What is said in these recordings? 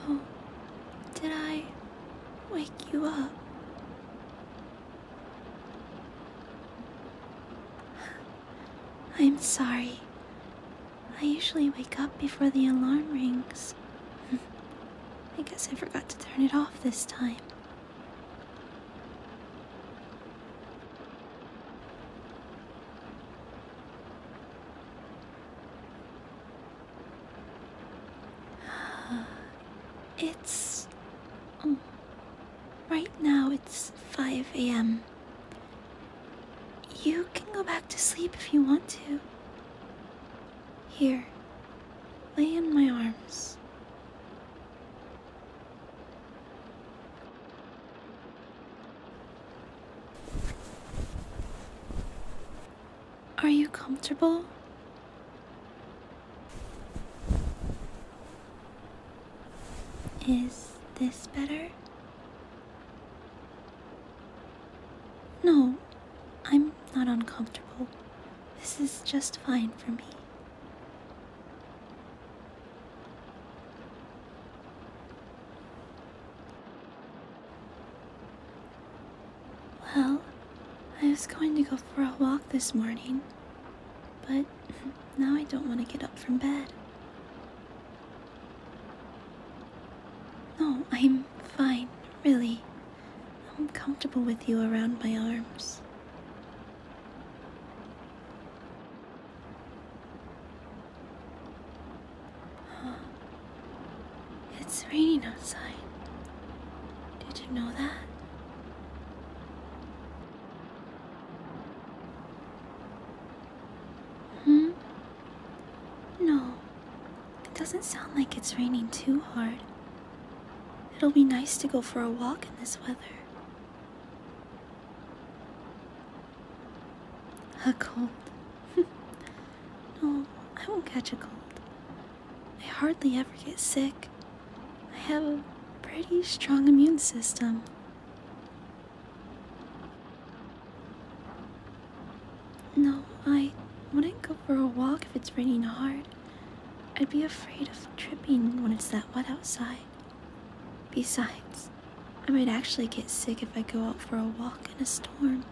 Oh, did I wake you up? I'm sorry. I usually wake up before the alarm rings. I guess I forgot to turn it off this time. It's oh, Right now it's 5 a.m. You can go back to sleep if you want to. Here, lay in my arms. Are you comfortable? Is this better? No, I'm not uncomfortable. This is just fine for me. Well, I was going to go for a walk this morning, but now I don't want to get up from bed. No, I'm fine, really. I'm comfortable with you around my arms. It's raining outside. Did you know that? Hmm? No. It doesn't sound like it's raining too hard. It'll be nice to go for a walk in this weather. A cold. no, I won't catch a cold. I hardly ever get sick. I have a pretty strong immune system. No, I wouldn't go for a walk if it's raining hard. I'd be afraid of tripping when it's that wet outside. Besides, I might actually get sick if I go out for a walk in a storm.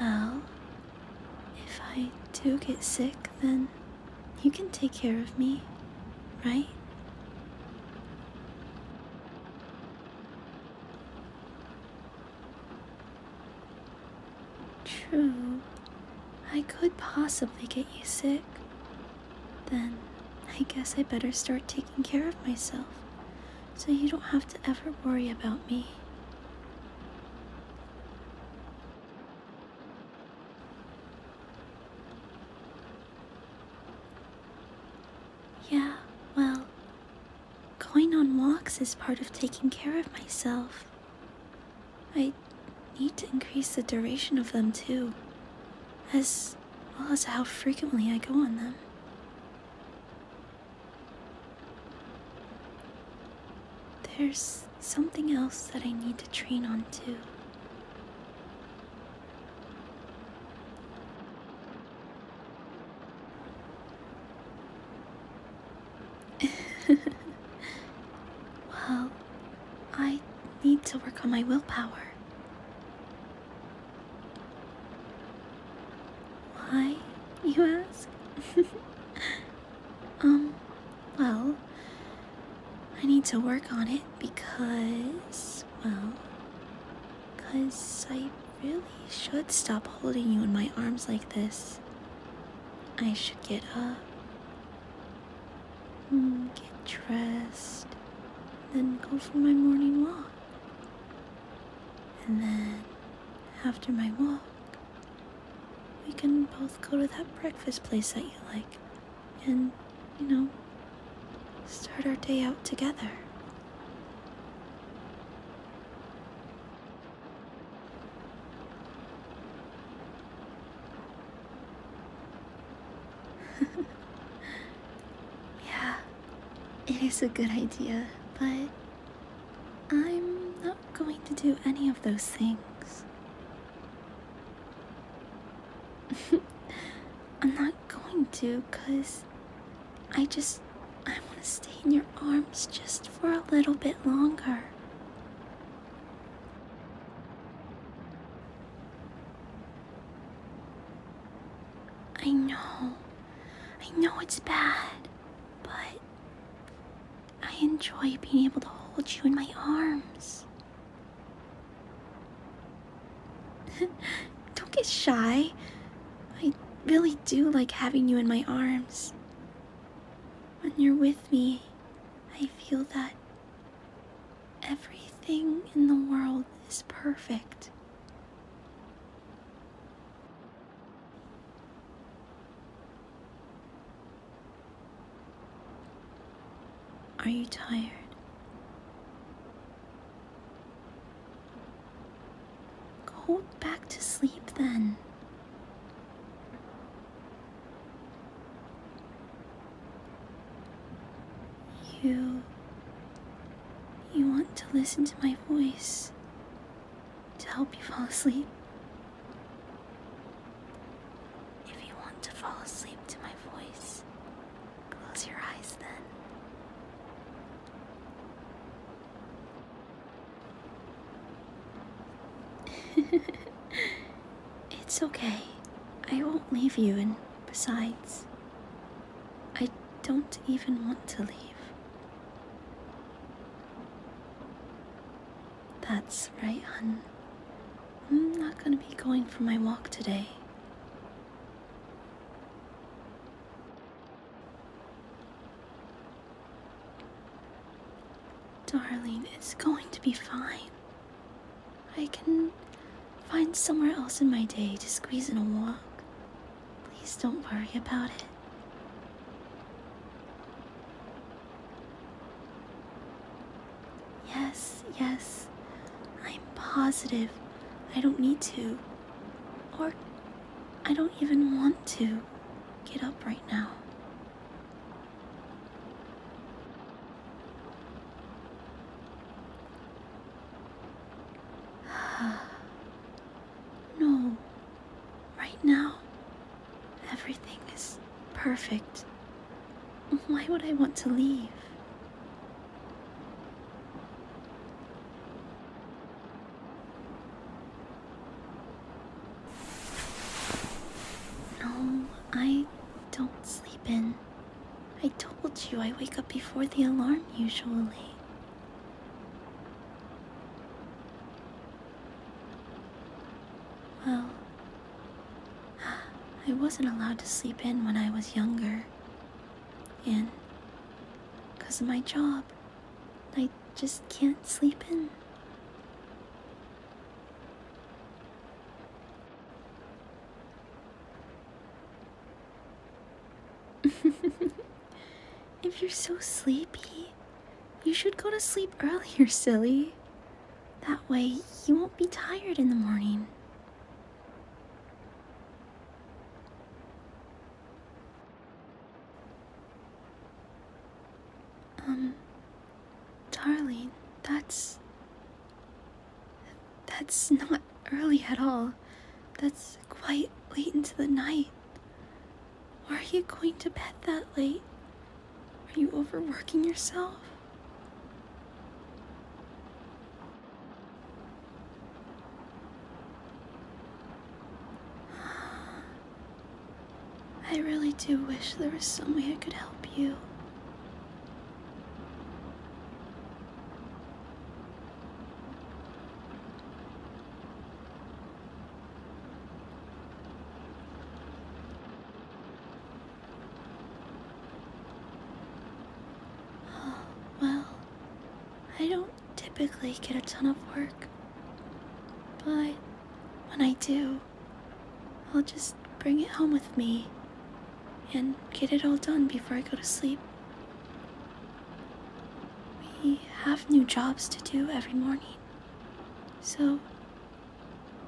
Well, if I do get sick, then you can take care of me, right? True, I could possibly get you sick, then I guess I better start taking care of myself so you don't have to ever worry about me. Yeah, well, going on walks is part of taking care of myself. I need to increase the duration of them too, as well as how frequently I go on them. There's something else that I need to train on too. well, I need to work on my willpower. Why, you ask? um, well, I need to work on it because, well, because I really should stop holding you in my arms like this. I should get up Hmm, get dressed, then go for my morning walk. And then, after my walk, we can both go to that breakfast place that you like and, you know, start our day out together. yeah, it is a good idea, but I'm not going to do any of those things. I'm not going to, because I just. I want to stay in your arms just for a little bit longer. I know. I know it's bad, but I enjoy being able to hold you in my arms. Don't get shy. I really do like having you in my arms. When you're with me, I feel that Everything in the world is perfect. Are you tired? Go back to sleep then. You. You want to listen to my voice to help you fall asleep? If you want to fall asleep to my voice, close your eyes then. It's okay. I won't leave you, and besides, I don't even want to leave. That's right, hun. I'm not gonna be going for my walk today. Darling, it's going to be fine. I can find somewhere else in my day to squeeze in a walk. Please don't worry about it. Yes, yes. I'm positive I don't need to. Or I don't even want to get up right now. no. Right now, everything is perfect. Why would I want to leave? No, I don't sleep in. I told you I wake up before the alarm usually. Well, I wasn't allowed to sleep in when I was younger. And because of my job, I just can't sleep in. if you're so sleepy, you should go to sleep earlier, silly. That way, you won't be tired in the morning. Um, darling, that's. That's not early at all. That's quite late into the night. Why are you going to bed that late? Are you overworking yourself? I really do wish there was some way I could help you. well, I don't typically get a ton of work, but when I do, I'll just bring it home with me and get it all done before I go to sleep. We have new jobs to do every morning, so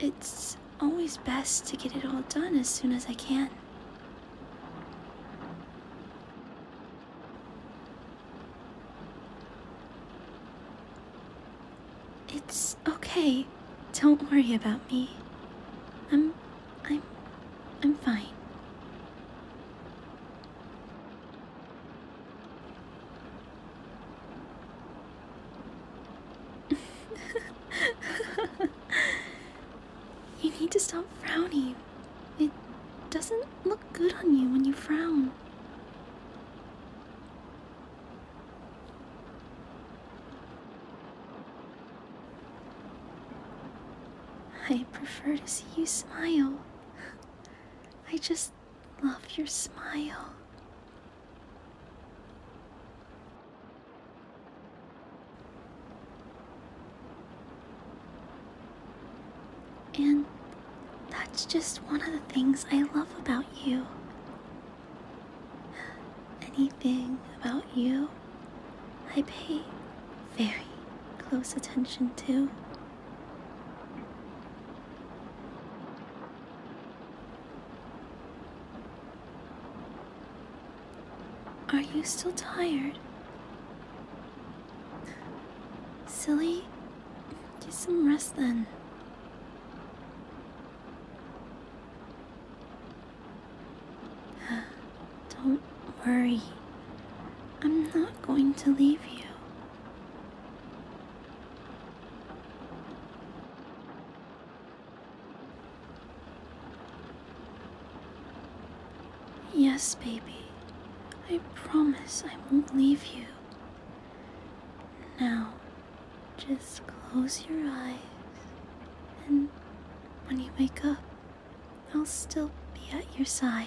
it's always best to get it all done as soon as I can. It's okay. Don't worry about me. I'm. I'm. I'm fine. You need to stop frowning. It doesn't look good on you when you frown. I prefer to see you smile. I just love your smile. And that's just one of the things I love about you. Anything about you, I pay very close attention to. Are you still tired? Silly? Get some rest then. Don't worry. I'm not going to leave you. Yes, baby. I promise I won't leave you. Now, just close your eyes, and when you wake up, I'll still be at your side.